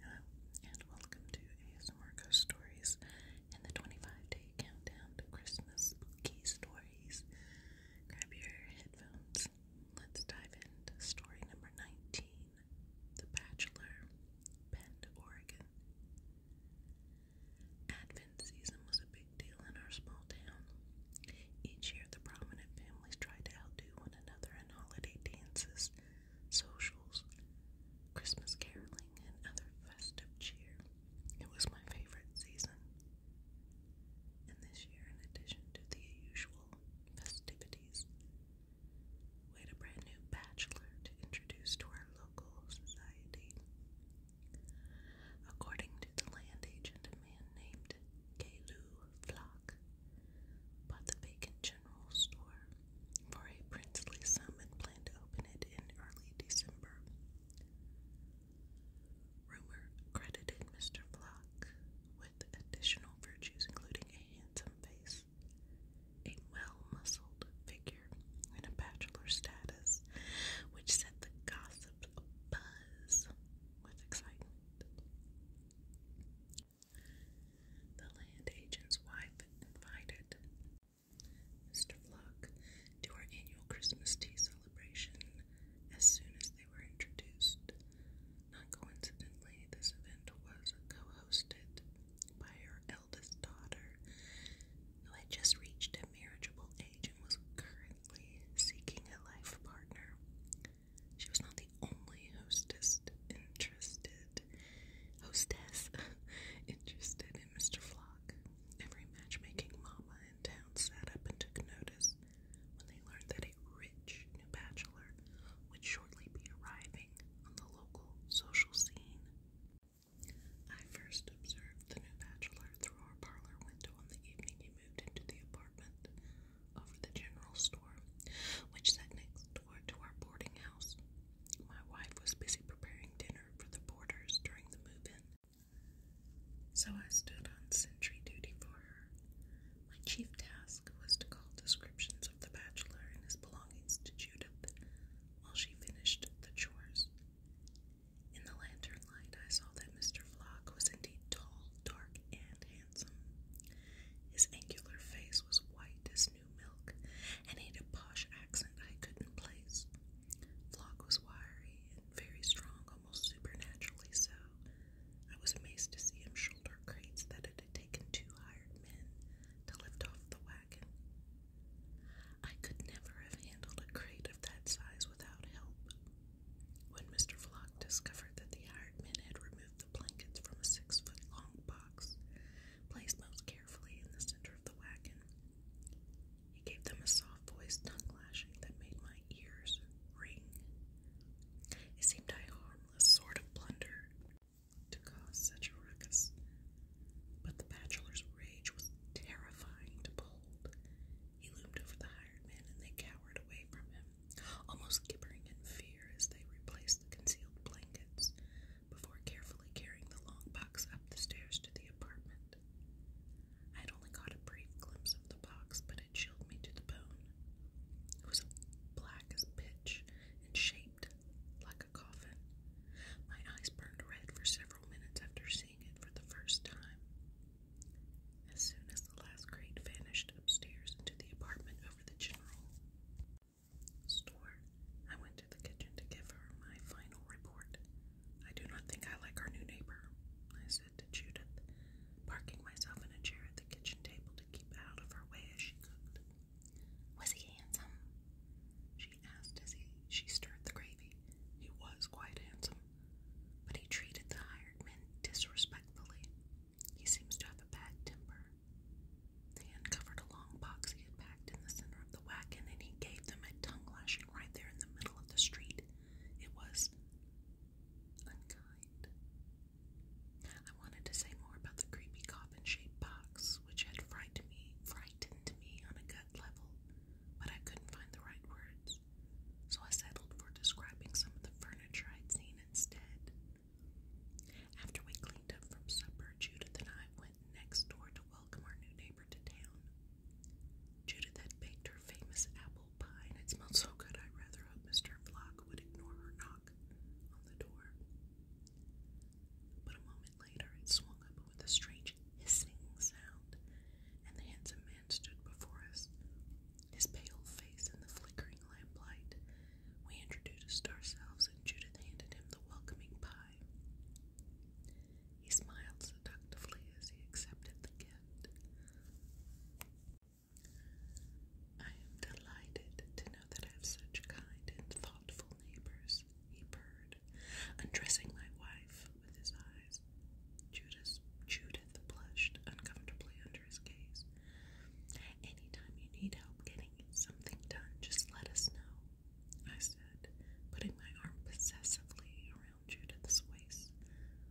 Hello, and welcome to ASMR Ghost Stories and the 25 day countdown to Christmas spooky stories. Grab your headphones. Let's dive into story number 19 The Bachelor, Bend, Oregon. Advent season was a big deal in our small town. Each year, the prominent families tried to outdo one another in holiday dances, socials, Christmas caroling, and other festive cheer. It was my favorite season. And this year, in addition to the usual festivities, we had a brand new bachelor to introduce to our local society. According to the land agent, a man named Kalu Flock bought the vacant general store for a princely sum and planned to open it in early December. Rumor credited Mr. Flock with additional virtues including a handsome face, a well-muscled figure, and a bachelor status, which set the gossip abuzz with excitement. The land agent's wife invited Mr. Flock to our annual Christmas tea celebration as soon as they were introduced. Not coincidentally, this event was co hosted by her eldest daughter, who had just reached a marriageable age and was currently seeking a life partner. She was not the only hostess interested hostess interested in Mr. Flock. Every matchmaking mama in town sat up and took notice when they learned that a rich new bachelor would shortly be arriving on the local social scene. I first observed the new bachelor through our parlor window on the evening he moved into the apartment over the general store, which sat next door to our boarding house. My wife was busy preparing dinner for the boarders during the move in, so I stood on sentry duty for her. My chief task was to call descriptions of the bachelor and his belongings to Judith while she finished the chores. In the lantern light, I saw that Mr. Flock was indeed tall, dark, and handsome. His angular face was white as new milk, and he had a posh accent I couldn't place. Flock was wiry and very strong, almost supernaturally so. I was amazed to see him shoulder crates that it had taken two hired men to lift off the wagon. I could never have handled a crate of that size without help. When Mr. Flock discovered that the hired men had removed the blankets from a six foot long box, placed most carefully in the center of the wagon, he gave them a soft voiced tongue lashing that made my ears ring. It seemed a harmless sort of blunder to cause such a ruckus, but the bachelor's rage was terrifying to behold. He loomed over the hired men, and they cowered away from him almost gibbering in fear as they replaced the concealed blankets before carefully carrying the long box up the stairs to the apartment. I had only caught a brief glimpse of the box, but it chilled me to the bone. It was black as pitch and shaped like a coffin. My eyes burned red for several minutes after seeing it for the first time. As soon as the last crate vanished upstairs into the apartment over the general store, I went to the kitchen to give her my final report. I do not think I like our new neighbor, I said to Judith, parking myself in a chair at the kitchen table to keep out of her way as she cooked. Was he handsome? She asked as he, she stirred the gravy. He was quite handsome, but he treated the hired men disrespectfully. He seems to have a bad temper. They uncovered a long box he had packed in the center of the wagon, and he gave them a tongue lashing right there in the middle of the street. It was unkind. I wanted to say more about the creepy coffin-shaped box, which had frightened me, on a gut level, but I couldn't find the right words so I settled for describing some of the furniture I'd seen instead. After we cleaned up from supper, Judith and I went next door to welcome our new neighbor to town. Judith had baked her famous apple pie, and it smelled so good I rather hoped Mr. Flock would ignore her knock on the door. But a moment later, it swung open with a strange hissing sound, and the handsome man man stood before us, his pale face in the flickering lamplight. We introduced ourselves, and Judith handed him the welcoming pie. He smiled seductively as he accepted the gift. I am delighted to know that I have such kind and thoughtful neighbors, he purred, undressing my wife, with his eyes. Judas, Judith blushed uncomfortably under his gaze. Anytime you need help getting something done, just let us know, I said, putting my arm possessively around Judith's waist.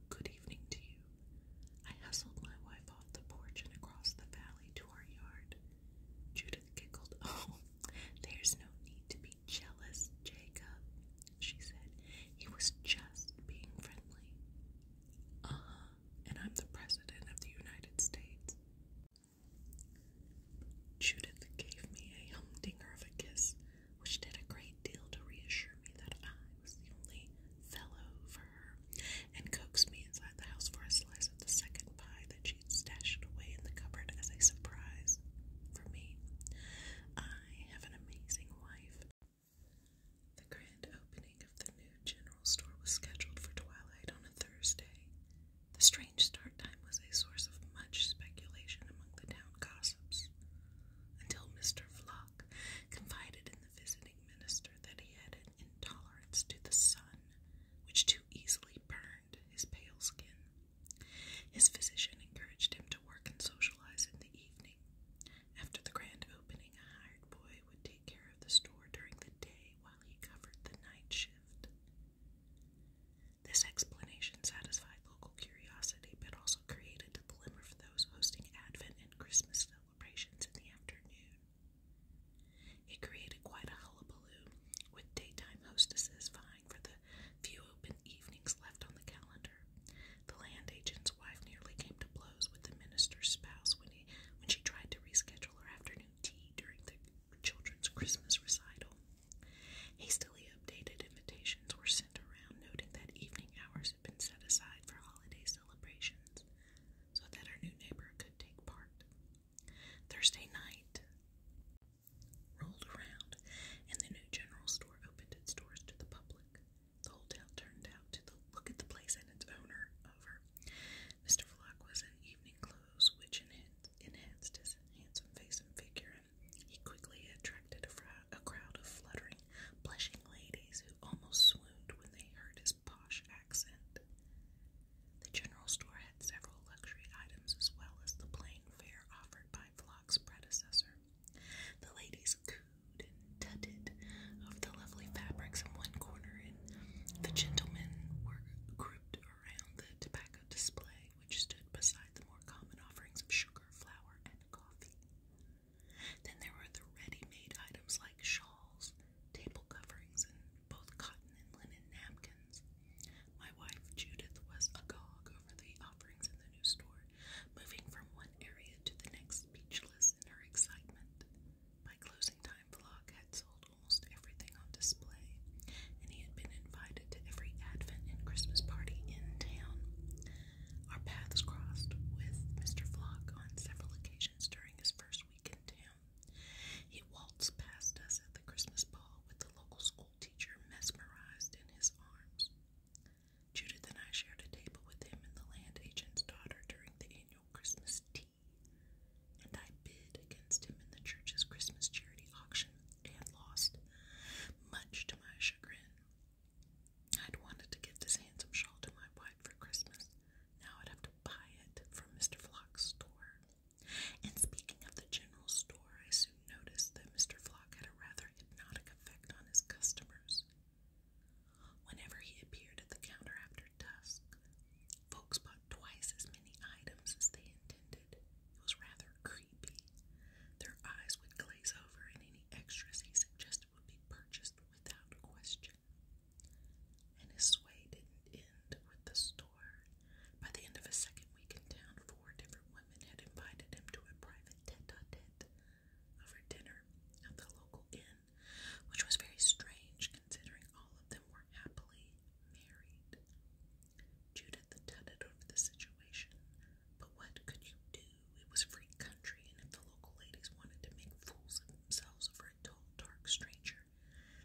Good evening to you. I hustled my wife off the porch and across the valley to our yard. Judith giggled. Oh, there's no need to be jealous, Jacob she said. He was just being friendly. Uh huh, and I'm the President of the United States. Judith gave me a humdinger of a kiss, which did a great deal to reassure me that I was the only fellow for her, and coaxed me inside the house for a slice of the second pie that she'd stashed away in the cupboard as a surprise for me. I have an amazing wife. The grand opening of the new general store was scheduled for twilight on a Thursday. The strange start time was a source of much speculation among the town gossips, until Mr. Flock confided in the visiting minister that he had an intolerance to the sun, which too easily burned his pale skin. His physician encouraged him to work and socialize in the evening. After the grand opening, a hired boy would take care of the store during the day while he covered the night shift. This explanation satisfied local curiosity but also created a dilemma for those hosting Advent and Christmas celebrations in the afternoon. It created quite a hullabaloo, with daytime hostesses vying for the the few open evenings left on the calendar. The land agent's wife nearly came to blows with the minister's spouse when, he, when she tried to reschedule her afternoon tea during the children's Christmas recital. Hastily updated invitations were sent around, noting that evening hours had been set aside for holiday celebrations so that her new neighbor could take part. Thursday night rolled around, and the new general store opened its doors to the public. The whole town turned out to look at the place and its owner over. Mr. Vlock was in evening clothes, which enhanced his handsome face and figure, and he quickly attracted a, crowd of fluttering, blushing ladies who almost swooned when they heard his posh accent. The general store had several luxury items as well as the plain fare offered by Vlock's predecessor. The ladies cooed and tutted over the lovely fabrics in one corner, and the gentlemen were grouped around the tobacco display, which stood beside the more common offerings of sugar, flour, and coffee. Then there were the ready-made items like shawls, table coverings, and both cotton and linen napkins. My wife Judith was agog over the offerings in the new store, moving from one area to the next speechless in her excitement. By closing time, Vlog had sold almost everything on display, and he had been invited to every Advent and Christmas party in town. Our paths crossed with Mr. Vlog on several occasions during his first week in town. He waltzed past us at the Christmas ball with the local school teacher mesmerized in his arms. Judith and I shared a table with him and the land agent's daughter during the annual Christmas tea, and I bid against him in the church's Christmas charity auction and lost, much to my chagrin. I'd wanted to give this handsome shawl to my wife for Christmas. Now I'd have to buy it from Mr. Flock's store. And speaking of the general store, I noticed that Mr. Flock had a rather hypnotic effect on his customers. Whenever he appeared at the counter after dusk, folks bought twice as many items as they intended. It was rather creepy. Their eyes would glaze over, and any extras he suggested would be purchased without question. And his sway didn't end with the store. By the end of his second week in town, four different women had invited him to a private tete over dinner at the local inn, which was very strange considering all of them were happily married. Judith the tenant of the situation, but what could you do? It was free country, and if the local ladies wanted to make fools of themselves over a tall, dark stranger,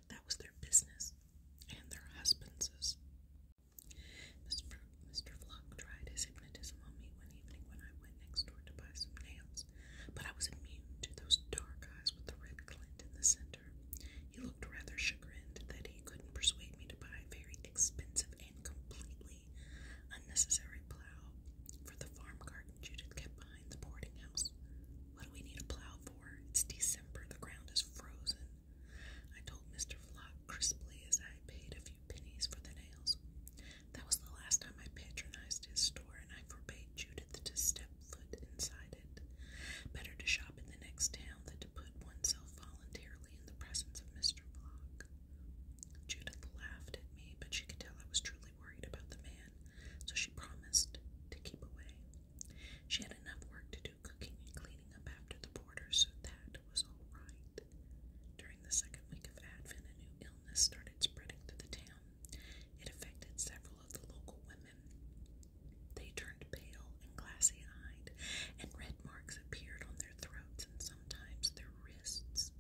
that was their business and their husbands'. Mr. Mr. tried his hypnotism on me one evening when I went next door to buy some nails, but I was immune to those dark eyes with the red glint in the center. He looked rather chagrined that he couldn't persuade me to buy a very expensive and completely unnecessary plow for the farm garden Judith kept behind the boarding house. What do we need a plow for? It's December, the ground is frozen. I told Mr. Flock crisply as I paid a few pennies for the nails. That was the last time I patronized his store, and I forbade Judith to step foot inside it. Better to shop in the next town than to put oneself voluntarily in the presence of Mr. Block. Judith laughed at me, but she could tell I was truly worried about the man, so she promised to keep away. She had enough work to do cooking and cleaning up after the border, so that was all right. During the second week of Advent, a new illness started spreading through the town. It affected several of the local women. They turned pale and glassy eyed, and red marks appeared on their throats and sometimes their wrists.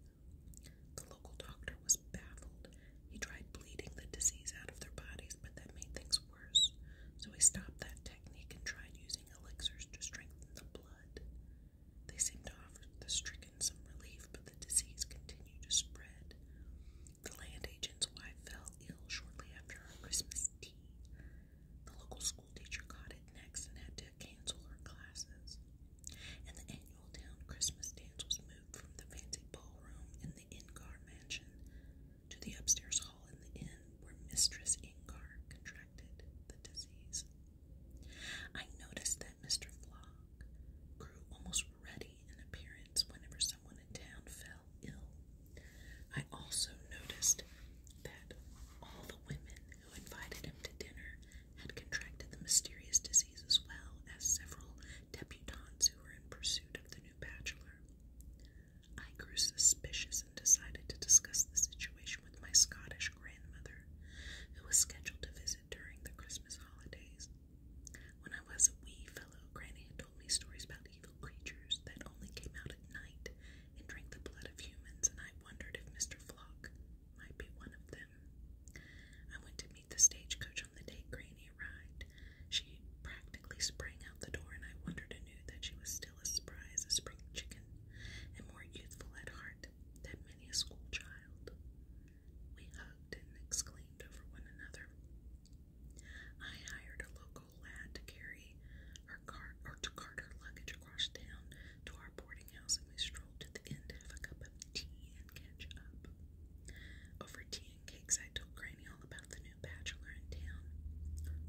The local doctor was baffled. He tried bleeding the disease out of their bodies, but that made things worse. So he stopped that technique and tried using elixirs to strengthen the blood. They seemed to offer the stricken some relief, but the disease continued to spread. The land agent's wife fell ill shortly after her Christmas tea. The local school teacher caught it next and had to cancel her classes. And the annual town Christmas dance was moved from the fancy ballroom in the Ingar mansion to the upstairs hall in the inn where Mistress Ingar contracted the disease. I noticed that Mr. Flog grew almost ruddy in appearance whenever someone in town fell ill. I also noticed that all the women who invited him to dinner had contracted the mysterious disease as well as several debutantes who were in pursuit of the new bachelor. I grew suspicious and decided to discuss the situation with my Scottish grandmother, who was scheduled to visit during the Christmas holidays. When I was a wee fellow, Granny had told me stories about evil creatures that only came out at night and drank the blood of humans, and I wondered if Mr. Flock might be one of them. I went to meet the stagecoach on the day Granny arrived, she practically sprang out the door, and I wondered anew that she was still as spry as a spring chicken and more youthful at heart than many a school child. We hugged and exclaimed over one another. I hired a local lad to carry her cart or to cart her luggage across town to our boarding house, and we strolled to the inn to a cup of tea and catch Over tea and I told Granny all about the new bachelor in town.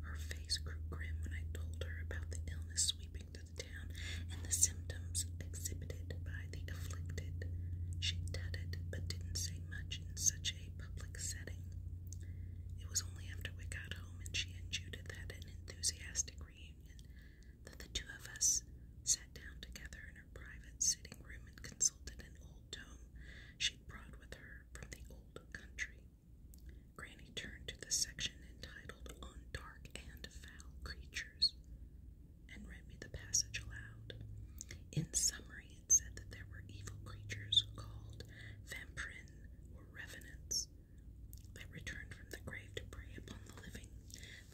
Her face grew grim when I told her about the illness sweeping through the town and the symptoms exhibited by the afflicted. She tutted but didn't say much in such a public setting. It was only after we got home and she and Judith had an enthusiastic reunion that the two of us sat down together in her private sitting room and consulted an old tome she'd brought with her from the old country. Granny turned to the section entitled On Dark and Foul Creatures and read me the passage aloud. In summary, it said that there were evil creatures called vampirin or revenants that returned from the grave to prey upon the living.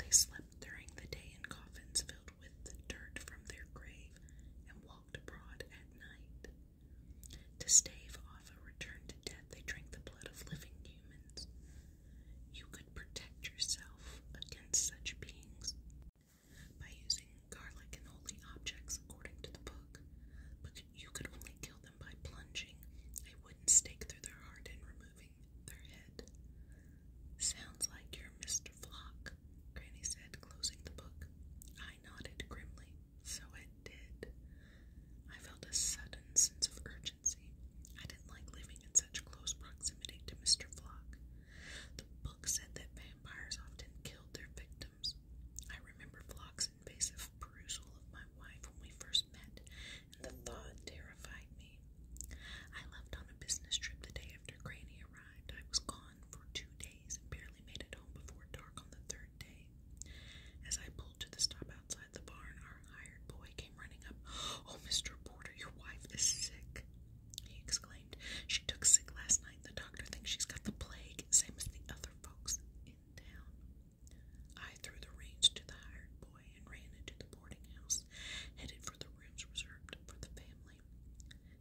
They slept during the day in coffins filled with the dirt from their grave and walked abroad at night. To stave off a return to death, they drank the blood of living humans. You could protect yourself against such beings by using garlic and holy objects, according to the book, but you could only kill them by plunging a wooden stake through their heart and removing their head. Sounds like you're Mr. Flock, Granny said, closing the book. I nodded grimly. So it did. I felt a sudden sense of urgency. I didn't like living in such close proximity to Mr. Flock. The book said that vampires often killed their victims. I remember Flock's invasive perusal of my wife when we first met, and the thought terrified me. I left on a business trip the day after Granny arrived. I was gone for two days and barely made it home before dark on the third day. As I pulled to the stop outside the barn, our hired boy came running up. Oh, Mr. Porter, your wife is sick, he exclaimed. She took sick last night. The doctor thinks she's got the plague, same as the other folks in town. I threw the reins to the hired boy and ran into the boarding house, headed for the rooms reserved for the family.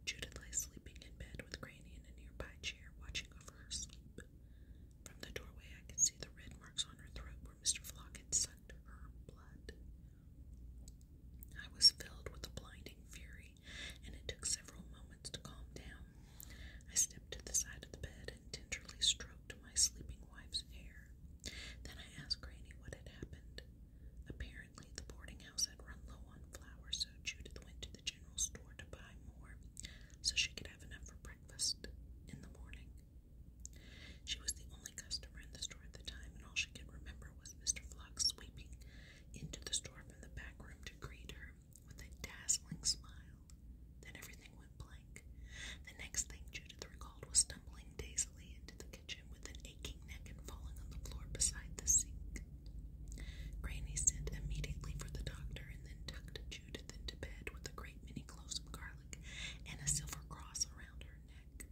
Judith lay sleeping in bed with Granny in a nearby chair, watching over her sleep. From the doorway, I could see the red marks on her throat where Mr. Flock had sucked her blood. I was filled with a blinding fury, and it took several moments to calm down. I stepped to the side of the bed and tenderly stroked my sleeping wife's hair. Then I asked Granny what had happened. Apparently, the boarding house had run low on flour, so Judith went to the general store to buy more so she could have enough for breakfast in the morning. She was the only customer in the store at the time, and all she could remember was Mr. Flock sweeping into the store from the back room to greet her with a dazzling smile. Then everything went blank. The next thing Judith recalled was stumbling dazedly into the kitchen with an aching neck and falling on the floor beside the sink. Granny sent immediately for the doctor and then tucked Judith into bed with a great many cloves of garlic and a silver cross around her neck.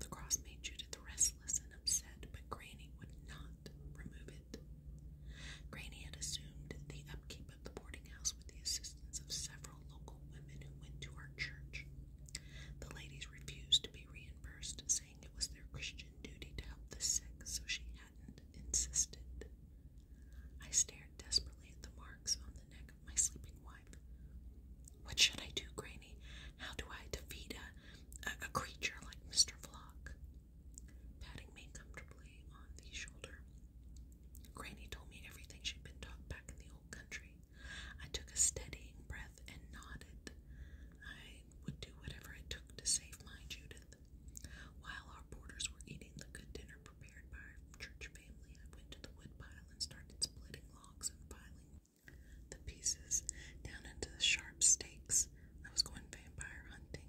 The cross made Judith restless and upset, but Granny would not remove it. Granny had assumed the upkeep of the boarding house with the assistance of several local women who went to our church. The ladies refused to be reimbursed, saying it was their Christian duty to help the sick, so she hadn't insisted. I stared desperately at the marks on the neck of my sleeping wife. What should I do, Granny? How do I defeat a, a, creature like Mr. Flock? Patting me comfortably on the shoulder, Granny told me everything she'd been taught back in the old country. I took a steadying breath and nodded. I I would do whatever it took to save my Judith. While our boarders were eating the good dinner prepared by our church family, I went to the woodpile and started splitting logs and piling the pieces down into the sharp stakes. I was going vampire hunting.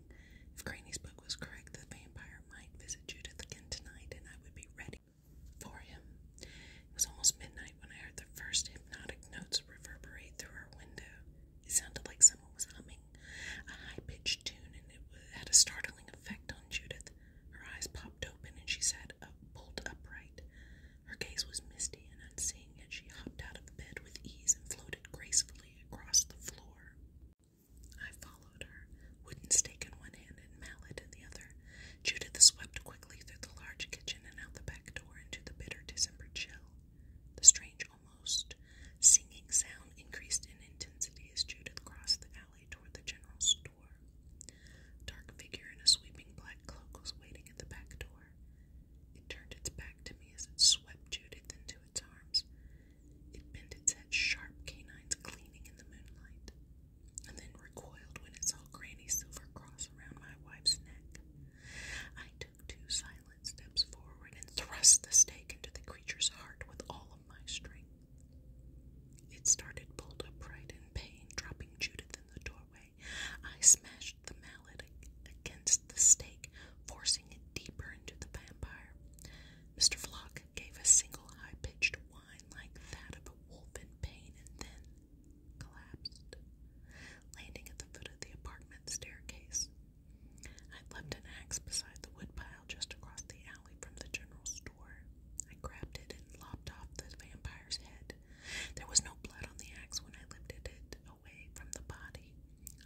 If Granny's book was correct, the vampire might visit Judith again tonight, and I would be ready for him. It was almost midnight when I heard the first hypnotic notes reverberate through our window. It sounded like someone was humming a high pitched tune, and it had a startling effect on Judith. Her eyes popped open, and she sat uh, bolt upright. Her gaze was misty and unseeing, and she hopped out of bed with ease and floated gracefully across the floor. I followed her, wooden stake in one hand and mallet in the other. Judith swept quickly through the large kitchen and out the back door into the bitter December chill. The strange, almost singing sound increased in intensity as Judith crossed the alley toward the general store. A dark figure in a sweeping black cloak was waiting at the back door. It turned its back to me as it swept Judith into its arms. It bent its head, sharp canines gleaming in the moonlight, and then recoiled when it saw Granny's silver cross around my wife's neck. I took two silent steps forward and thrust the stake into the creature's heart with all of my strength. It started pulled upright in pain, dropping Judith in the doorway. I smashed the mallet against the stake, forcing it deeper into the vampire. Mr. Flock gave a single high pitched whine like that of a wolf in pain and then collapsed, landing at the foot of the apartment staircase. I left an axe beside the woodpile just across the alley from the general store. I grabbed it and lopped off the vampire's head. There was no blood on the axe when I lifted it away from the body.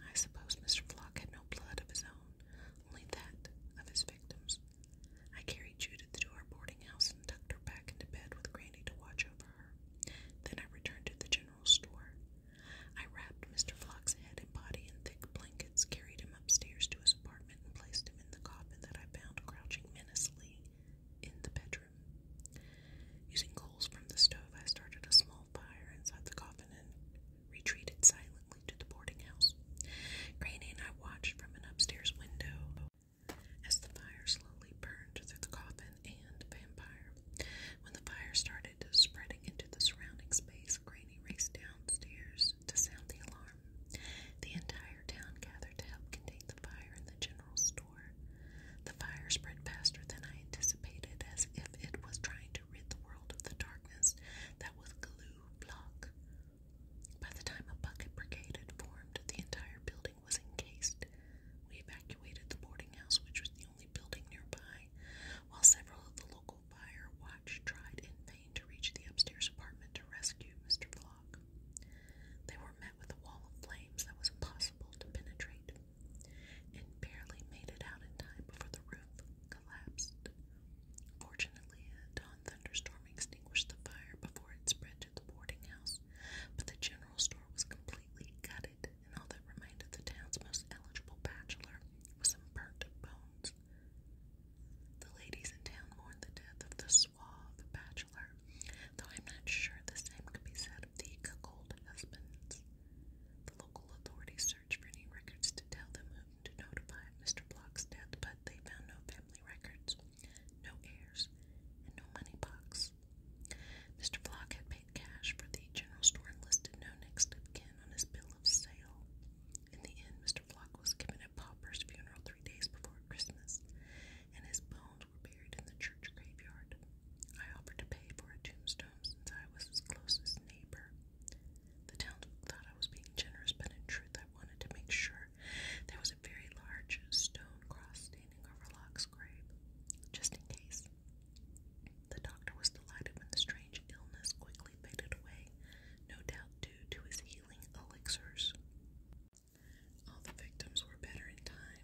I suppose Mr. Flock had no blood of his own, only that of his victims. I carried Judith to our boarding house and tucked her back into bed with Granny to watch over then I returned to the general store. I wrapped Mr. Flock's head and body in thick blankets, carried him upstairs to his apartment, and placed him in the coffin that I found crouching menacingly in the bedroom. Using coals from the stove, I started a small fire inside the coffin and retreated silently to the boarding house. Granny and I watched from an upstairs window as the fire slowly burned through the coffin and vampire. When the fire started spreading into the surrounding space, Granny raced downstairs to sound the alarm. The entire town gathered to help contain the fire in the general store. The fire spread faster than I anticipated, as if it was trying to rid the world of the darkness that was glue block. By the time a bucket brigade had formed, the entire building was encased. We evacuated the boarding house, which was the only building nearby, while several of the local fire watch tried in vain to reach the upstairs apartment to rescue Mr. Vlog. They were met with a wall of flames that was impossible to penetrate, and barely made it out in time before the roof collapsed. Fortunately, a dawn thunderstorm extinguished the fire before it spread to the boarding house, but the general store was completely gutted, and all that remained of the town's most eligible bachelor was some burnt bones. The ladies in town mourned the death of the suave bachelor, though I'm not sure the same could be said of the cuckold husbands. The local authorities searched for any records to tell them whom to notify of Mr. Block's death, but they found no family records no heirs, and no money box. Mr. Flock had paid cash for the general store and listed no next of kin on his bill of sale. In the end, Mr. Flock was given a pauper's funeral three days before Christmas, and his bones were buried in the church graveyard. I offered to pay for a tombstone since I was his closest neighbor. The townsfolk thought I was being generous, but in truth, I wanted to make sure there was a very large stone cross standing over Locke's grave, just in case. The doctor was delighted when the strange illness quickly faded away, no doubt due to his healing elixirs. All the victims were better in time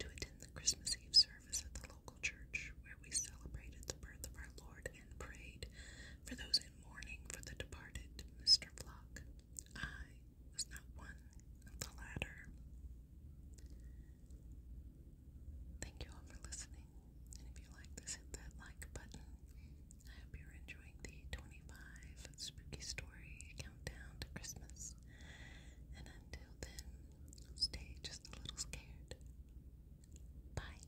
to attend the Christmas Eve service at the local church, where we celebrated the birth of our Lord and prayed for those in mourning for the departed Mr. Flock. I was not one of the latter. Thank you all for listening. And if you like this, hit that like button. I hope you're enjoying the 25 spooky story countdown to Christmas. And until then, stay just a little scared. Bye.